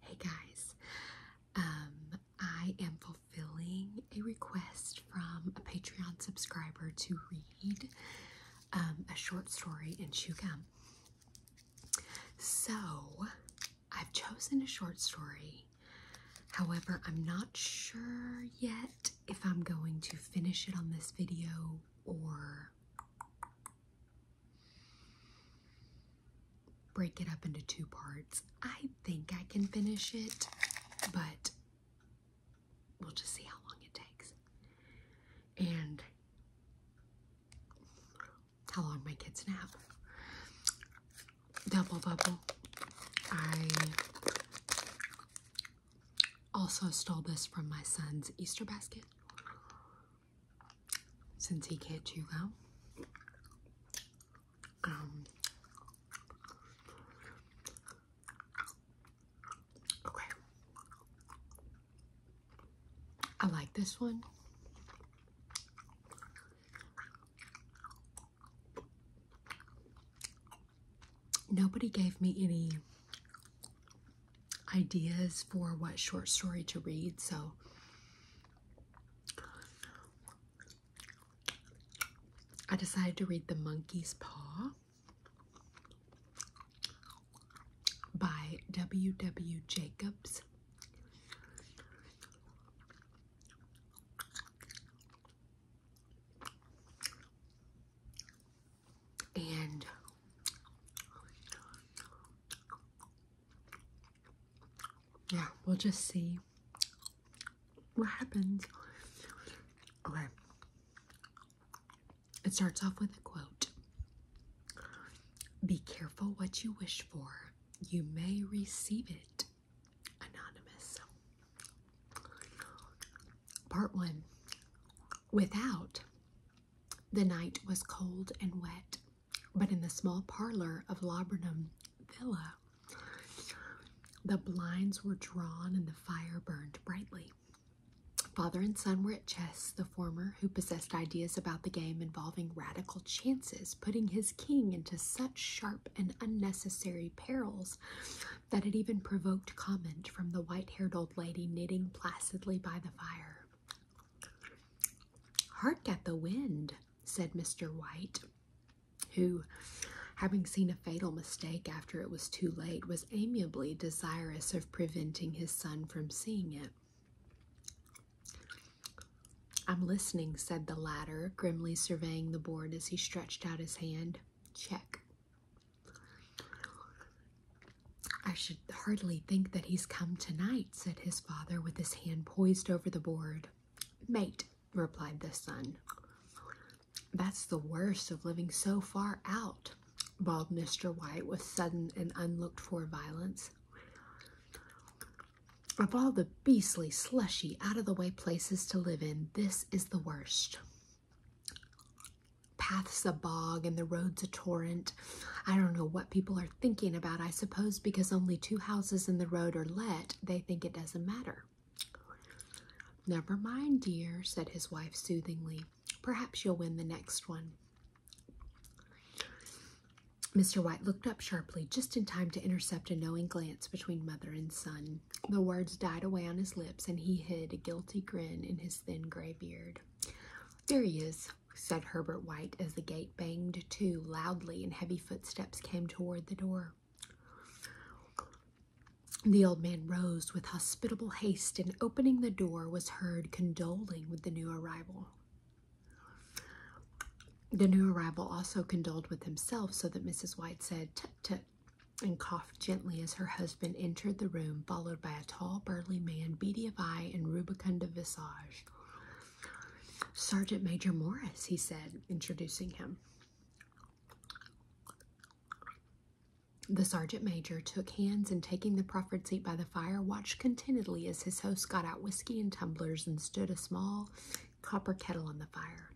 Hey guys, um, I am fulfilling a request from a Patreon subscriber to read um, a short story in chew gum. So I've chosen a short story. However, I'm not sure yet if I'm going to finish it on this video or break it up into two parts. I think I can finish it, but we'll just see how long it takes and how long my kids nap. Double bubble. I also stole this from my son's Easter basket since he cared too well. Um, okay. I like this one. Nobody gave me any ideas for what short story to read. So I decided to read The Monkey's Paw by W. W. Jacobs. And yeah, we'll just see what happens. Okay. It starts off with a quote Be careful what you wish for, you may receive it. Anonymous. Part one Without, the night was cold and wet but in the small parlor of Laburnum Villa, the blinds were drawn and the fire burned brightly. Father and son were at chess, the former, who possessed ideas about the game involving radical chances, putting his king into such sharp and unnecessary perils that it even provoked comment from the white haired old lady knitting placidly by the fire. Hark at the wind, said Mr. White, who, having seen a fatal mistake after it was too late, was amiably desirous of preventing his son from seeing it. I'm listening, said the latter, grimly surveying the board as he stretched out his hand. Check. I should hardly think that he's come tonight, said his father, with his hand poised over the board. Mate, replied the son. That's the worst of living so far out, bawled Mr. White with sudden and unlooked for violence. Of all the beastly, slushy, out of the way places to live in, this is the worst. Paths a bog and the road's a torrent, I don't know what people are thinking about. I suppose because only two houses in the road are let, they think it doesn't matter. Never mind, dear, said his wife soothingly. Perhaps you'll win the next one. Mr. White looked up sharply, just in time to intercept a knowing glance between mother and son. The words died away on his lips, and he hid a guilty grin in his thin gray beard. There he is, said Herbert White as the gate banged to loudly and heavy footsteps came toward the door. The old man rose with hospitable haste and opening the door was heard condoling with the new arrival. The new arrival also condoled with himself so that Mrs. White said tut tut and coughed gently as her husband entered the room, followed by a tall, burly man, beady of eye and rubicund of visage. Sergeant Major Morris, he said, introducing him. The sergeant major took hands and, taking the proffered seat by the fire, watched contentedly as his host got out whiskey and tumblers and stood a small copper kettle on the fire.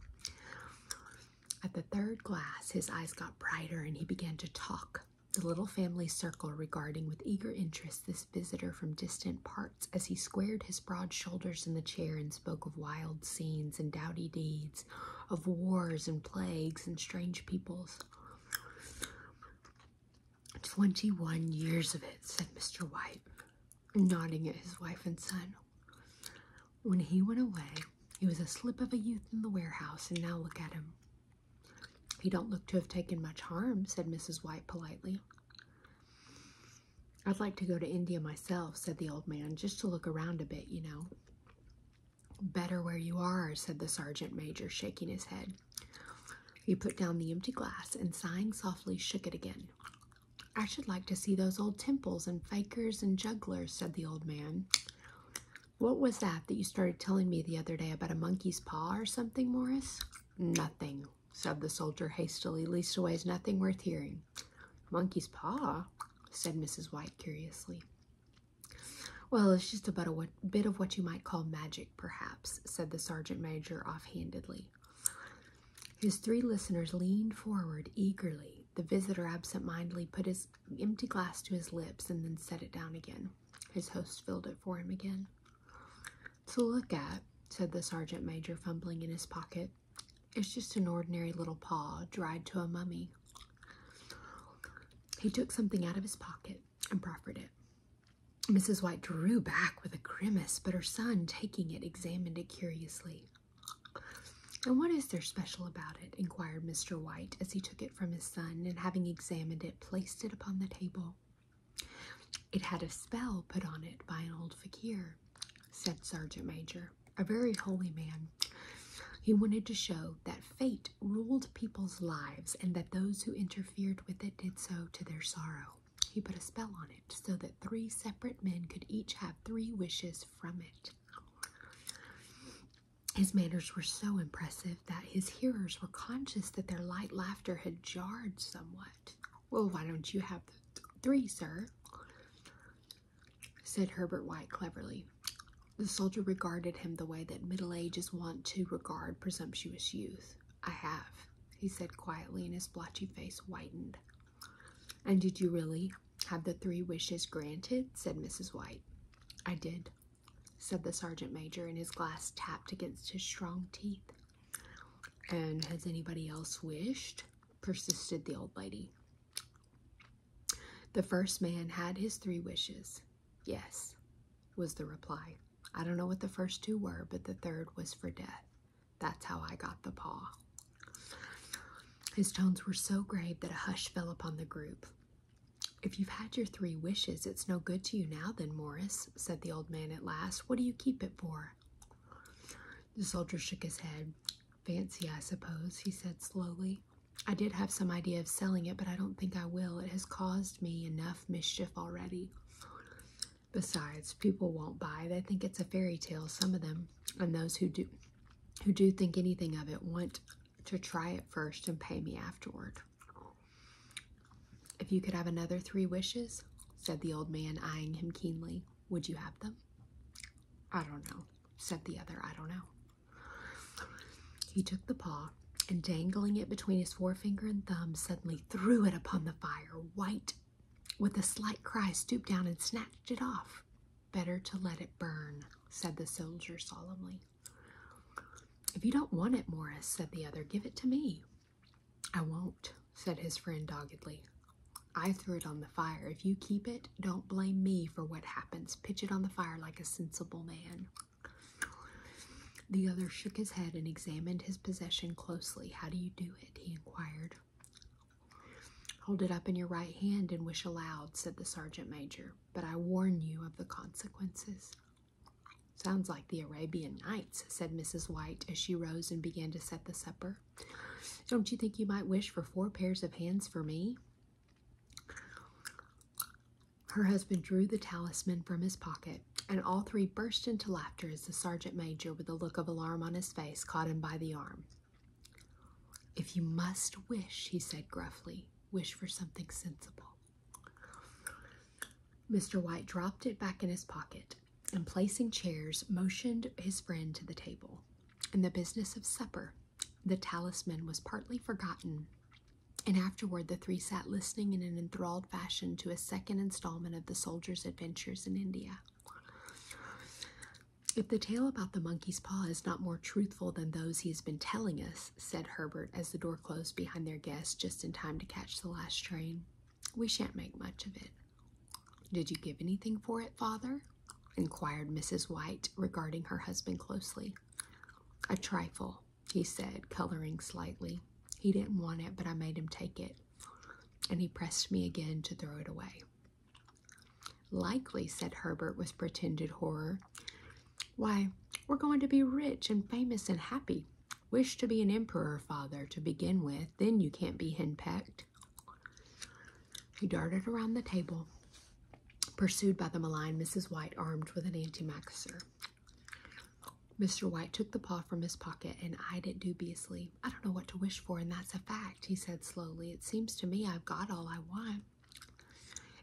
At the third glass, his eyes got brighter and he began to talk. The little family circle regarding with eager interest this visitor from distant parts as he squared his broad shoulders in the chair and spoke of wild scenes and doughty deeds, of wars and plagues and strange peoples. Twenty one years of it, said Mr. White, nodding at his wife and son. When he went away, he was a slip of a youth in the warehouse, and now look at him. You don't look to have taken much harm, said Mrs. White politely. I'd like to go to India myself, said the old man, just to look around a bit, you know. Better where you are, said the sergeant major, shaking his head. He put down the empty glass and, sighing softly, shook it again. I should like to see those old temples and fakers and jugglers, said the old man. What was that that you started telling me the other day about a monkey's paw or something, Morris? Nothing, said the soldier hastily, leastways nothing worth hearing. Monkey's paw, said Mrs. White curiously. Well, it's just about a bit of what you might call magic, perhaps, said the sergeant major offhandedly. His three listeners leaned forward eagerly. The visitor absent-mindedly put his empty glass to his lips and then set it down again. His host filled it for him again. To look at, said the sergeant major, fumbling in his pocket, it's just an ordinary little paw dried to a mummy. He took something out of his pocket and proffered it. Mrs. White drew back with a grimace, but her son, taking it, examined it curiously. And what is there special about it? inquired Mr. White as he took it from his son and, having examined it, placed it upon the table. It had a spell put on it by an old fakir, said Sergeant Major, a very holy man. He wanted to show that fate ruled people's lives and that those who interfered with it did so to their sorrow. He put a spell on it so that three separate men could each have three wishes from it. His manners were so impressive that his hearers were conscious that their light laughter had jarred somewhat. Well, why don't you have the three, sir? said Herbert White cleverly. The soldier regarded him the way that middle ages want to regard presumptuous youth. I have, he said quietly, and his blotchy face whitened. And did you really have the three wishes granted? said Mrs. White. I did, said the sergeant major, and his glass tapped against his strong teeth. And has anybody else wished? persisted the old lady. The first man had his three wishes. Yes, was the reply. I don't know what the first two were, but the third was for death. That's how I got the paw. His tones were so grave that a hush fell upon the group. If you've had your three wishes, it's no good to you now, then, Morris, said the old man at last. What do you keep it for? The soldier shook his head. Fancy, I suppose, he said slowly. I did have some idea of selling it, but I don't think I will. It has caused me enough mischief already. Besides, people won't buy. They think it's a fairy tale, some of them, and those who do who do think anything of it want to try it first and pay me afterward. If you could have another three wishes, said the old man, eyeing him keenly, would you have them? I don't know, said the other. I don't know. He took the paw and, dangling it between his forefinger and thumb, suddenly threw it upon the fire. White, with a slight cry, stooped down and snatched it off. Better to let it burn, said the soldier solemnly. If you don't want it, Morris, said the other, give it to me. I won't, said his friend doggedly. I threw it on the fire. If you keep it, don't blame me for what happens. Pitch it on the fire like a sensible man. The other shook his head and examined his possession closely. How do you do it? he inquired. Hold it up in your right hand and wish aloud, said the sergeant major, but I warn you of the consequences. Sounds like the Arabian Nights, said Mrs. White as she rose and began to set the supper. Don't you think you might wish for four pairs of hands for me? Her husband drew the talisman from his pocket, and all three burst into laughter as the sergeant major, with a look of alarm on his face, caught him by the arm. If you must wish, he said gruffly, wish for something sensible. Mr. White dropped it back in his pocket, and placing chairs, motioned his friend to the table. In the business of supper, the talisman was partly forgotten, and afterward the three sat listening in an enthralled fashion to a second installment of the soldier's adventures in India. If the tale about the monkey's paw is not more truthful than those he has been telling us, said Herbert as the door closed behind their guest just in time to catch the last train, we shan't make much of it. Did you give anything for it, father? inquired Mrs. White, regarding her husband closely. A trifle, he said, coloring slightly. He didn't want it, but I made him take it, and he pressed me again to throw it away. Likely, said Herbert with pretended horror. Why, we're going to be rich and famous and happy. Wish to be an emperor, father, to begin with. Then you can't be henpecked. He darted around the table, pursued by the malign Mrs. White, armed with an antimacassar. Mr. White took the paw from his pocket and eyed it dubiously. I don't know what to wish for, and that's a fact, he said slowly. It seems to me I've got all I want.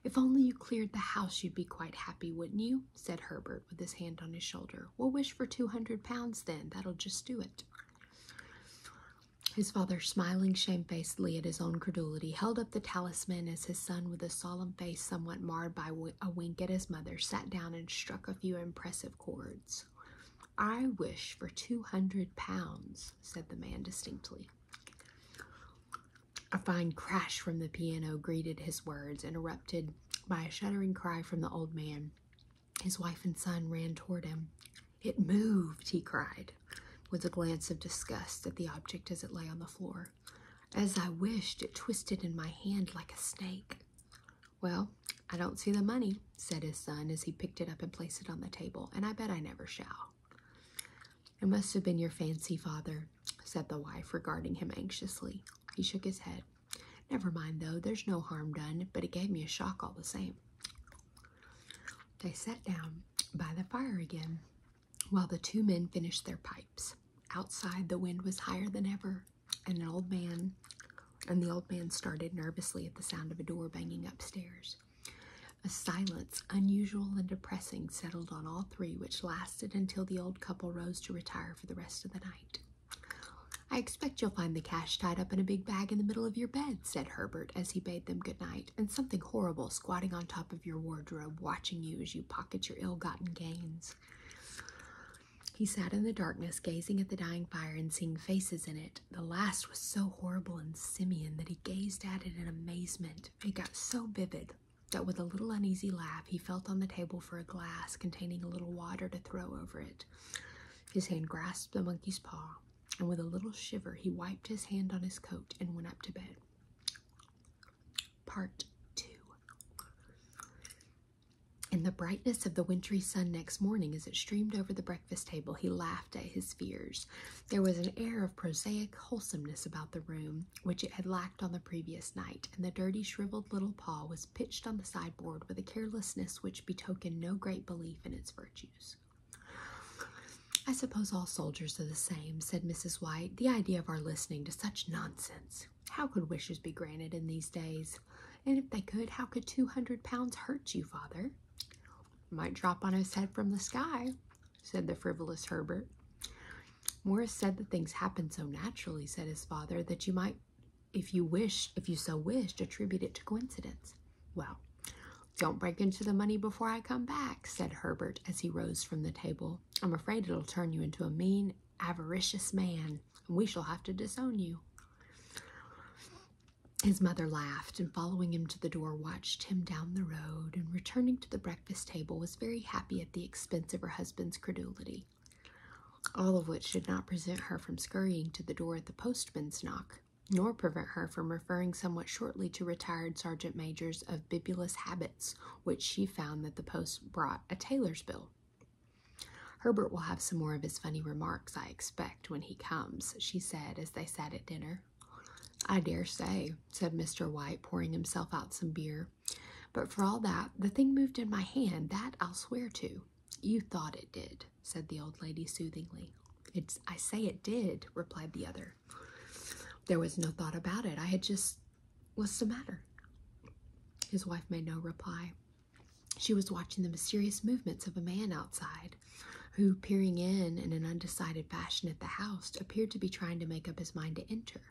If only you cleared the house, you'd be quite happy, wouldn't you? said Herbert with his hand on his shoulder. We'll wish for two hundred pounds then. That'll just do it. His father, smiling shamefacedly at his own credulity, held up the talisman as his son, with a solemn face somewhat marred by a wink at his mother, sat down and struck a few impressive chords. I wish for two hundred pounds, said the man distinctly. A fine crash from the piano greeted his words, interrupted by a shuddering cry from the old man. His wife and son ran toward him. It moved, he cried, with a glance of disgust at the object as it lay on the floor. As I wished, it twisted in my hand like a snake. Well, I don't see the money, said his son as he picked it up and placed it on the table, and I bet I never shall. It must have been your fancy, father, said the wife, regarding him anxiously. He shook his head. Never mind, though, there's no harm done, but it gave me a shock all the same. They sat down by the fire again while the two men finished their pipes. Outside, the wind was higher than ever, and the old man started nervously at the sound of a door banging upstairs. A silence, unusual and depressing, settled on all three, which lasted until the old couple rose to retire for the rest of the night. I expect you'll find the cash tied up in a big bag in the middle of your bed, said Herbert as he bade them good night, and something horrible squatting on top of your wardrobe, watching you as you pocket your ill gotten gains. He sat in the darkness, gazing at the dying fire and seeing faces in it. The last was so horrible and simian that he gazed at it in amazement. It got so vivid that with a little uneasy laugh he felt on the table for a glass containing a little water to throw over it. His hand grasped the monkey's paw, and with a little shiver he wiped his hand on his coat and went up to bed. Part 2 In the brightness of the wintry sun next morning, as it streamed over the breakfast table, he laughed at his fears. There was an air of prosaic wholesomeness about the room, which it had lacked on the previous night, and the dirty, shriveled little paw was pitched on the sideboard with a carelessness which betokened no great belief in its virtues. I suppose all soldiers are the same, said Mrs. White. The idea of our listening to such nonsense. How could wishes be granted in these days? And if they could, how could two hundred pounds hurt you, father? Might drop on his head from the sky, said the frivolous Herbert. Morris said that things happened so naturally, said his father, that you might if you wish, if you so wish, attribute it to coincidence. Well, don't break into the money before I come back, said Herbert as he rose from the table. I'm afraid it'll turn you into a mean, avaricious man, and we shall have to disown you. His mother laughed and, following him to the door, watched him down the road and, returning to the breakfast table, was very happy at the expense of her husband's credulity all of which should not prevent her from scurrying to the door at the postman's knock, nor prevent her from referring somewhat shortly to retired sergeant majors of bibulous habits, which she found that the post brought a tailor's bill. Herbert will have some more of his funny remarks, I expect, when he comes, she said as they sat at dinner. I dare say, said Mr. White, pouring himself out some beer. But for all that, the thing moved in my hand, that I'll swear to. You thought it did, said the old lady soothingly. It's I say it did, replied the other. There was no thought about it. I had just what's the matter? His wife made no reply. She was watching the mysterious movements of a man outside, who, peering in in an undecided fashion at the house, appeared to be trying to make up his mind to enter.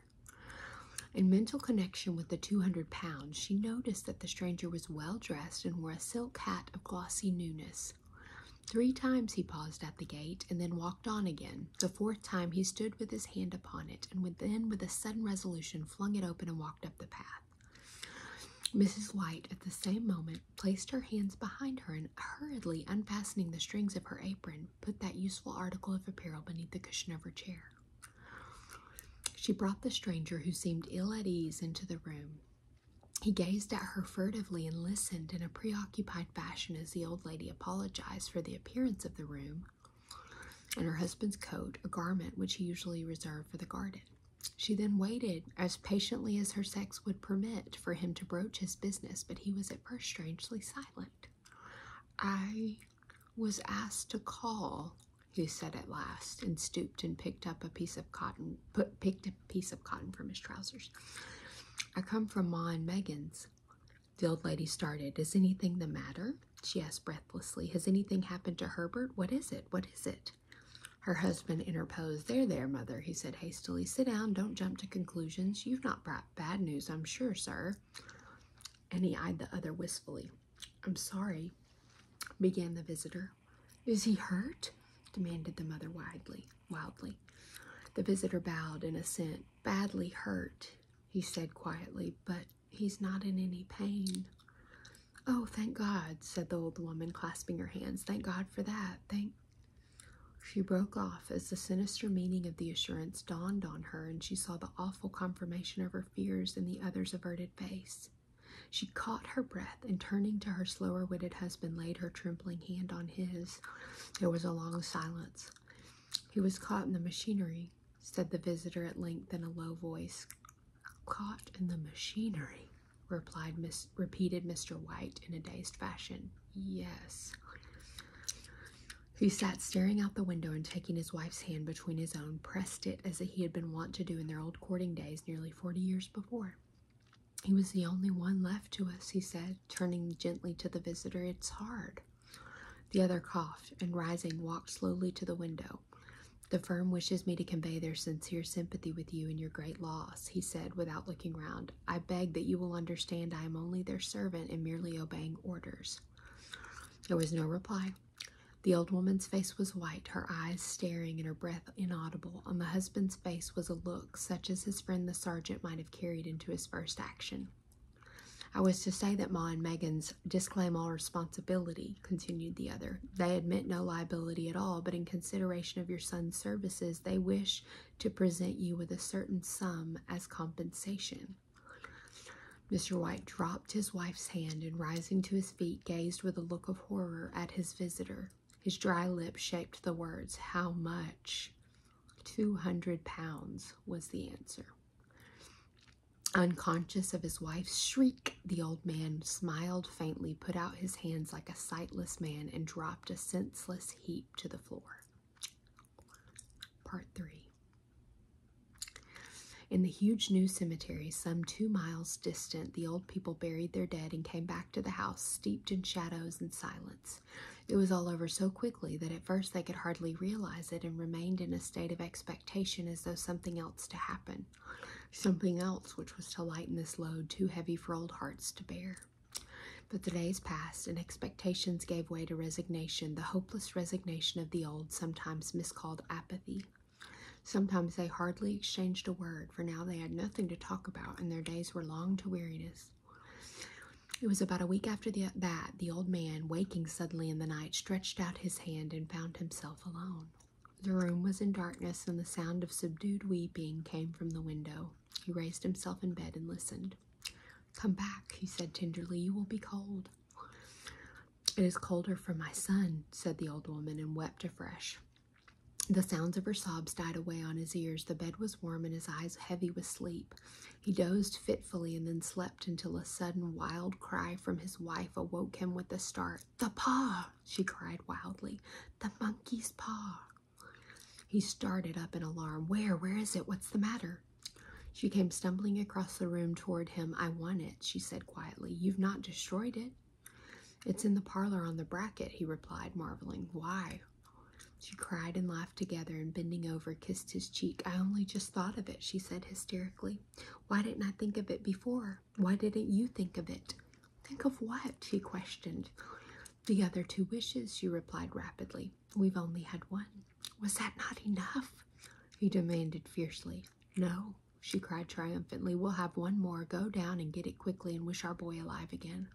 In mental connection with the 200 pounds, she noticed that the stranger was well dressed and wore a silk hat of glossy newness. Three times he paused at the gate and then walked on again. The fourth time he stood with his hand upon it, and then with a sudden resolution flung it open and walked up the path. Mrs. White, at the same moment, placed her hands behind her and hurriedly unfastening the strings of her apron, put that useful article of apparel beneath the cushion of her chair. She brought the stranger, who seemed ill at ease, into the room. He gazed at her furtively and listened in a preoccupied fashion as the old lady apologized for the appearance of the room and her husband's coat, a garment which he usually reserved for the garden. She then waited as patiently as her sex would permit for him to broach his business, but he was at first strangely silent. I was asked to call, he said at last and stooped and picked up a piece of cotton put picked a piece of cotton from his trousers. I come from Ma and Megan's. The old lady started. Is anything the matter? She asked breathlessly. Has anything happened to Herbert? What is it? What is it? Her husband interposed. There, there, mother, he said hastily. Sit down. Don't jump to conclusions. You've not brought bad news, I'm sure, sir. And he eyed the other wistfully. I'm sorry, began the visitor. Is he hurt? demanded the mother widely, wildly. The visitor bowed in assent. Badly hurt, he said quietly, but he's not in any pain. Oh, thank God, said the old woman, clasping her hands. Thank God for that. Thank. She broke off as the sinister meaning of the assurance dawned on her, and she saw the awful confirmation of her fears in the other's averted face. She caught her breath and, turning to her slower witted husband, laid her trembling hand on his. There was a long silence. He was caught in the machinery, said the visitor at length in a low voice. Caught in the machinery, repeated Mr. White in a dazed fashion. Yes. He sat staring out the window and taking his wife's hand between his own, pressed it as he had been wont to do in their old courting days nearly forty years before. He was the only one left to us, he said, turning gently to the visitor. It's hard. The other coughed and, rising, walked slowly to the window. The firm wishes me to convey their sincere sympathy with you in your great loss, he said without looking round. I beg that you will understand I am only their servant and merely obeying orders. There was no reply. The old woman's face was white, her eyes staring and her breath inaudible. On the husband's face was a look such as his friend the sergeant might have carried into his first action. I was to say that Ma and Megan's disclaim all responsibility, continued the other. They admit no liability at all, but in consideration of your son's services, they wish to present you with a certain sum as compensation. Mr. White dropped his wife's hand and, rising to his feet gazed with a look of horror at his visitor. His dry lips shaped the words, How much? Two hundred pounds was the answer. Unconscious of his wife's shriek, the old man smiled faintly, put out his hands like a sightless man, and dropped a senseless heap to the floor. Part 3 in the huge new cemetery, some two miles distant, the old people buried their dead and came back to the house, steeped in shadows and silence. It was all over so quickly that at first they could hardly realize it and remained in a state of expectation as though something else to happen. Something else which was to lighten this load too heavy for old hearts to bear. But the days passed, and expectations gave way to resignation, the hopeless resignation of the old, sometimes miscalled apathy. Sometimes they hardly exchanged a word, for now they had nothing to talk about, and their days were long to weariness. It was about a week after that the old man, waking suddenly in the night, stretched out his hand and found himself alone. The room was in darkness, and the sound of subdued weeping came from the window. He raised himself in bed and listened. Come back, he said tenderly, you will be cold. It is colder for my son, said the old woman, and wept afresh. The sounds of her sobs died away on his ears. The bed was warm and his eyes heavy with sleep. He dozed fitfully and then slept until a sudden wild cry from his wife awoke him with a start. The paw, she cried wildly. The monkey's paw. He started up in alarm. Where? Where is it? What's the matter? She came stumbling across the room toward him. I want it, she said quietly. You've not destroyed it. It's in the parlor on the bracket, he replied, marveling. Why? She cried and laughed together and, bending over, kissed his cheek. I only just thought of it, she said hysterically. Why didn't I think of it before? Why didn't you think of it? Think of what? she questioned. The other two wishes, she replied rapidly. We've only had one. Was that not enough? he demanded fiercely. No, she cried triumphantly. We'll have one more. Go down and get it quickly and wish our boy alive again.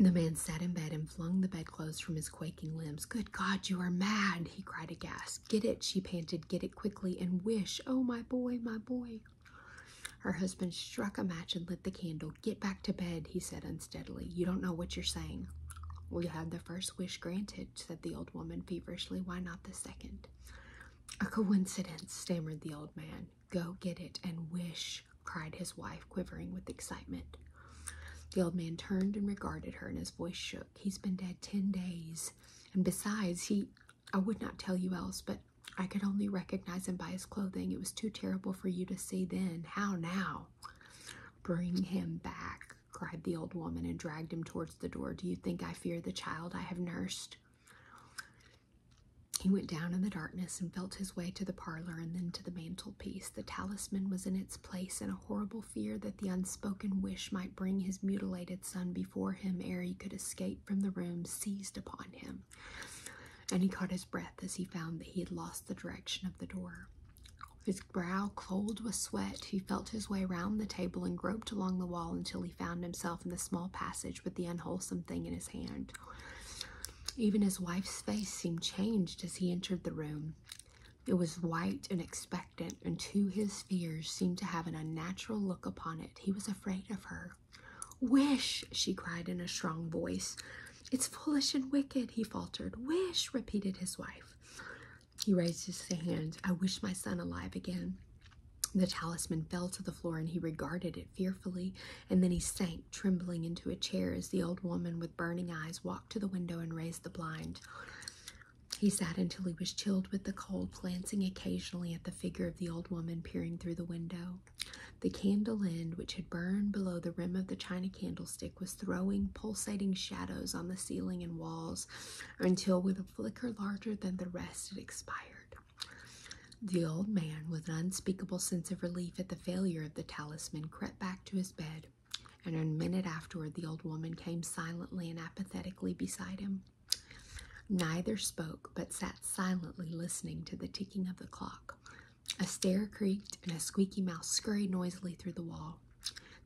The man sat in bed and flung the bedclothes from his quaking limbs. Good God, you are mad, he cried aghast. Get it, she panted. Get it quickly and wish. Oh, my boy, my boy. Her husband struck a match and lit the candle. Get back to bed, he said unsteadily. You don't know what you're saying. we had the first wish granted, said the old woman feverishly. Why not the second? A coincidence, stammered the old man. Go get it and wish, cried his wife, quivering with excitement. The old man turned and regarded her, and his voice shook. He's been dead ten days, and besides, he I would not tell you else, but I could only recognize him by his clothing. It was too terrible for you to see then. How now? Bring him back, cried the old woman, and dragged him towards the door. Do you think I fear the child I have nursed? He went down in the darkness and felt his way to the parlor and then to the mantelpiece. The talisman was in its place, and a horrible fear that the unspoken wish might bring his mutilated son before him ere he could escape from the room seized upon him. And he caught his breath as he found that he had lost the direction of the door. His brow cold with sweat he felt his way round the table and groped along the wall until he found himself in the small passage with the unwholesome thing in his hand. Even his wife's face seemed changed as he entered the room. It was white and expectant, and to his fears seemed to have an unnatural look upon it. He was afraid of her. Wish, she cried in a strong voice. It's foolish and wicked, he faltered. Wish, repeated his wife. He raised his hand. I wish my son alive again. The talisman fell to the floor and he regarded it fearfully, and then he sank trembling into a chair as the old woman with burning eyes walked to the window and raised the blind. He sat until he was chilled with the cold, glancing occasionally at the figure of the old woman peering through the window. The candle end, which had burned below the rim of the china candlestick, was throwing pulsating shadows on the ceiling and walls until, with a liquor larger than the rest had expired. The old man, with an unspeakable sense of relief at the failure of the talisman, crept back to his bed, and a minute afterward the old woman came silently and apathetically beside him. Neither spoke, but sat silently listening to the ticking of the clock. A stair creaked, and a squeaky mouse scurried noisily through the wall.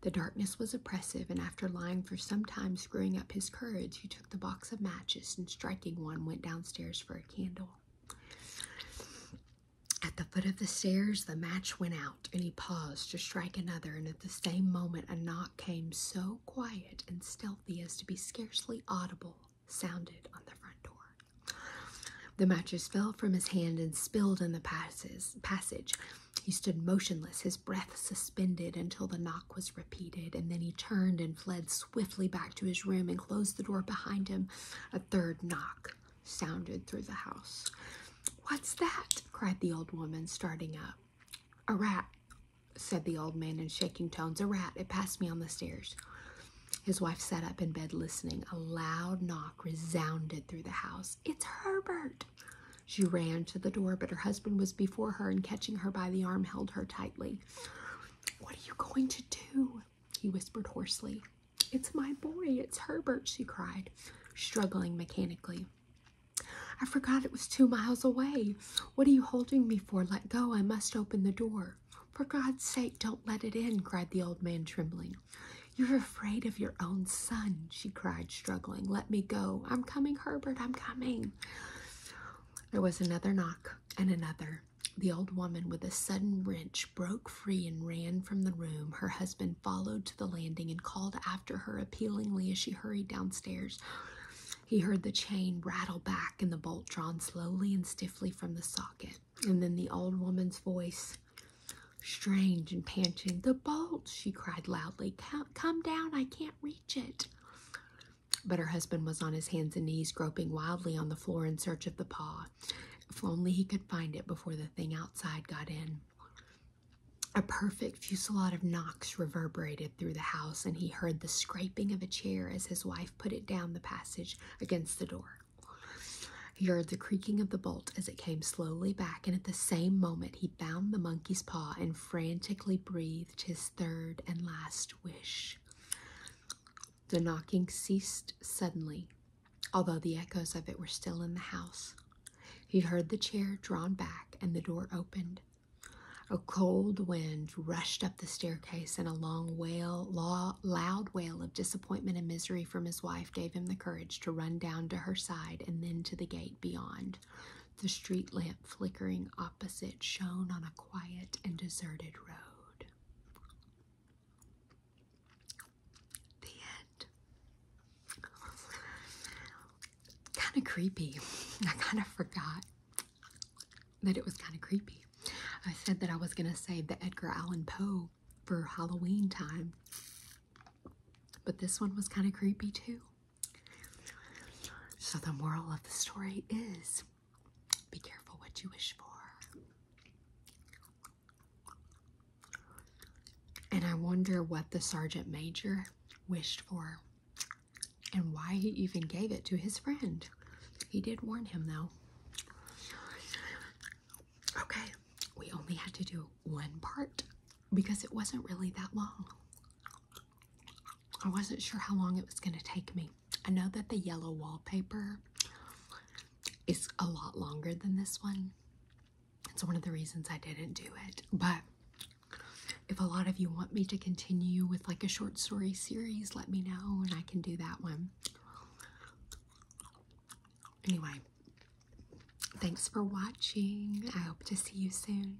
The darkness was oppressive, and after lying for some time, screwing up his courage, he the box of matches and, striking one, went downstairs for a candle. At the foot of the stairs, the match went out, and he paused to strike another, and at the same moment, a knock came so quiet and stealthy as to be scarcely audible, sounded on the front door. The matches fell from his hand and spilled in the passes, passage. He stood motionless, his breath suspended until the knock was repeated, and then he turned and fled swiftly back to his room and closed the door behind him. A third knock sounded through the house. What's that? cried the old woman, starting up. A rat, said the old man in shaking tones. A rat. It passed me on the stairs. His wife sat up in bed listening. A loud knock resounded through the house. It's Herbert, she ran to the door, but her husband was before her and, catching her by the arm, held her tightly. What are you going to do? he whispered hoarsely. It's my boy, it's Herbert, she cried, struggling mechanically. I forgot it was two miles away. What are you holding me for? Let go, I must open the door. For God's sake, don't let it in, cried the old man, trembling. You're afraid of your own son, she cried, struggling. Let me go. I'm coming, Herbert, I'm coming. There was another knock and another. The old woman, with a sudden wrench, broke free and ran from the room. Her husband followed to the landing and called after her appealingly as she hurried downstairs. He heard the chain rattle back and the bolt drawn slowly and stiffly from the socket. And then the old woman's voice, strange and panting, The bolt, she cried loudly. Come, come down, I can't reach it. But her husband was on his hands and knees, groping wildly on the floor in search of the paw. If only he could find it before the thing outside got in. A perfect fusillade of knocks reverberated through the house, and he heard the scraping of a chair as his wife put it down the passage against the door. He heard the creaking of the bolt as it came slowly back, and at the same moment he found the monkey's paw and frantically breathed his third and last wish. The knocking ceased suddenly, although the echoes of it were still in the house. He heard the chair drawn back and the door opened. A cold wind rushed up the staircase, and a long wail, loud wail of disappointment and misery from his wife gave him the courage to run down to her side and then to the gate beyond the street lamp flickering opposite shone on a quiet and deserted road. The end. kind of creepy. I kind of forgot that it was kind of creepy. I said that I was going to save the Edgar Allan Poe for Halloween time, but this one was kind of creepy too. So, the moral of the story is be careful what you wish for. And I wonder what the sergeant major wished for and why he even gave it to his friend. He did warn him though. Okay, we only had to do one part because it wasn't really that long. I wasn't sure how long it was going to take me. I know that the yellow wallpaper is a lot longer than this one. It's one of the reasons I didn't do it. But if a lot of you want me to continue with like a short story series, let me know and I can do that one. Anyway, thanks for watching. I hope to see you soon.